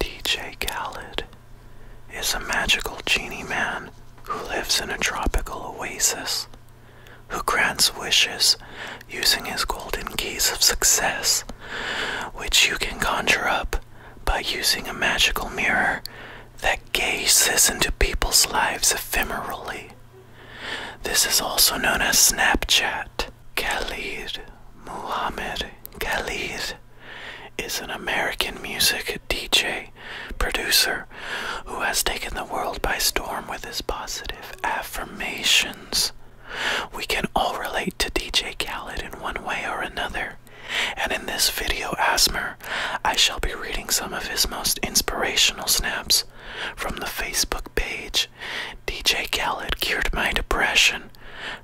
DJ Khaled is a magical genie man who lives in a tropical oasis, who grants wishes using his golden keys of success, which you can conjure up by using a magical mirror that gazes into people's lives ephemerally. This is also known as Snapchat. Khalid Muhammad Khalid is an American music DJ producer who has taken the world by storm with his positive affirmations. We can all relate to DJ Khalid in one way or another. And in this video asmer, I shall be reading some of his most inspirational snaps from the Facebook page DJ Khaled cured my depression,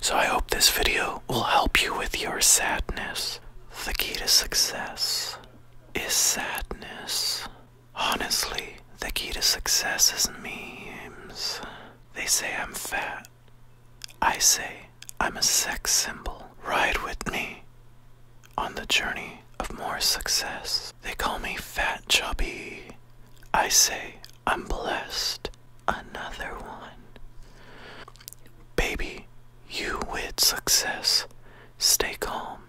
so I hope this video will help you with your sadness. The key to success is sadness. Honestly, the key to success is memes. They say I'm fat. I say I'm a sex symbol. Ride with me on the journey of more success. They call me Fat Chubby. I say I'm blessed. Another one. Baby, you with success. Stay calm.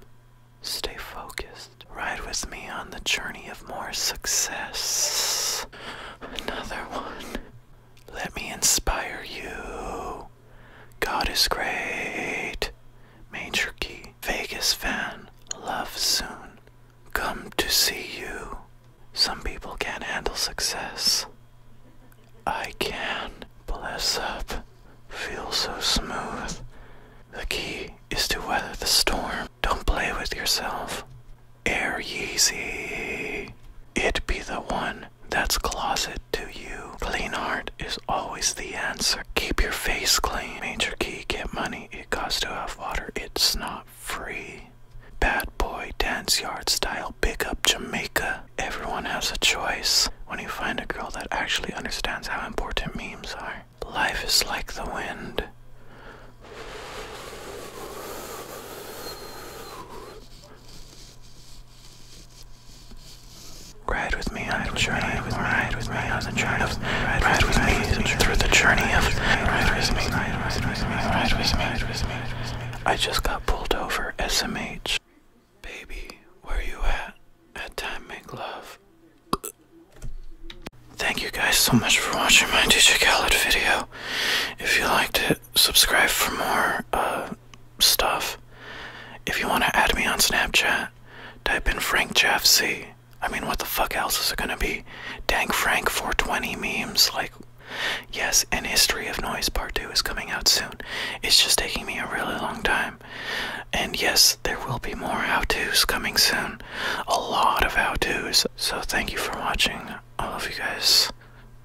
Stay focused. Ride with me on the journey of more success. Another one. Let me inspire you. God is great. Major key. Vegas fan. Love soon. Come to see you. Some people can't handle success. I can. Bless up. Feel so smooth. The key is to weather the storm. Don't play with yourself. Air Yeezy. It be the one that's closet to you. Clean art is always the answer. Keep your face clean. Major key, get money. It costs to have water. It's not free. Bad boy, dance yard style, big up Jamaica. Everyone has a choice when you find a girl that actually understands how important memes are. Life is like the wind. Ride with me on the journey with me, ride with me on the journey of ride with me through the journey of ride with me, ride with me, ride with me, ride with me. I just got pulled over, SMH. Baby, where you at? At time make love. Thank you guys so much for watching my DJ Khaled video. If you liked it, subscribe for more uh, stuff. If you want to add me on Snapchat, type in Frank Jeff C. I mean, what the fuck else is it gonna be? Dank Frank 420 memes, like, yes, an History of Noise Part 2 is coming out soon. It's just taking me a really long time. And yes, there will be more how to's coming soon. A lot of how to's. So, thank you for watching. I love you guys.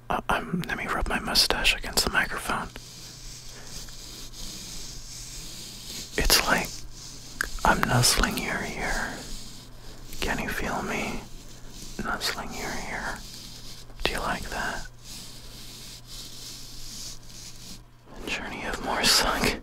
Uh, I'm, let me rub my mustache against the microphone. It's like I'm nuzzling your ear. Can you feel me nuzzling your ear? Do you like that? Journey of Morsung.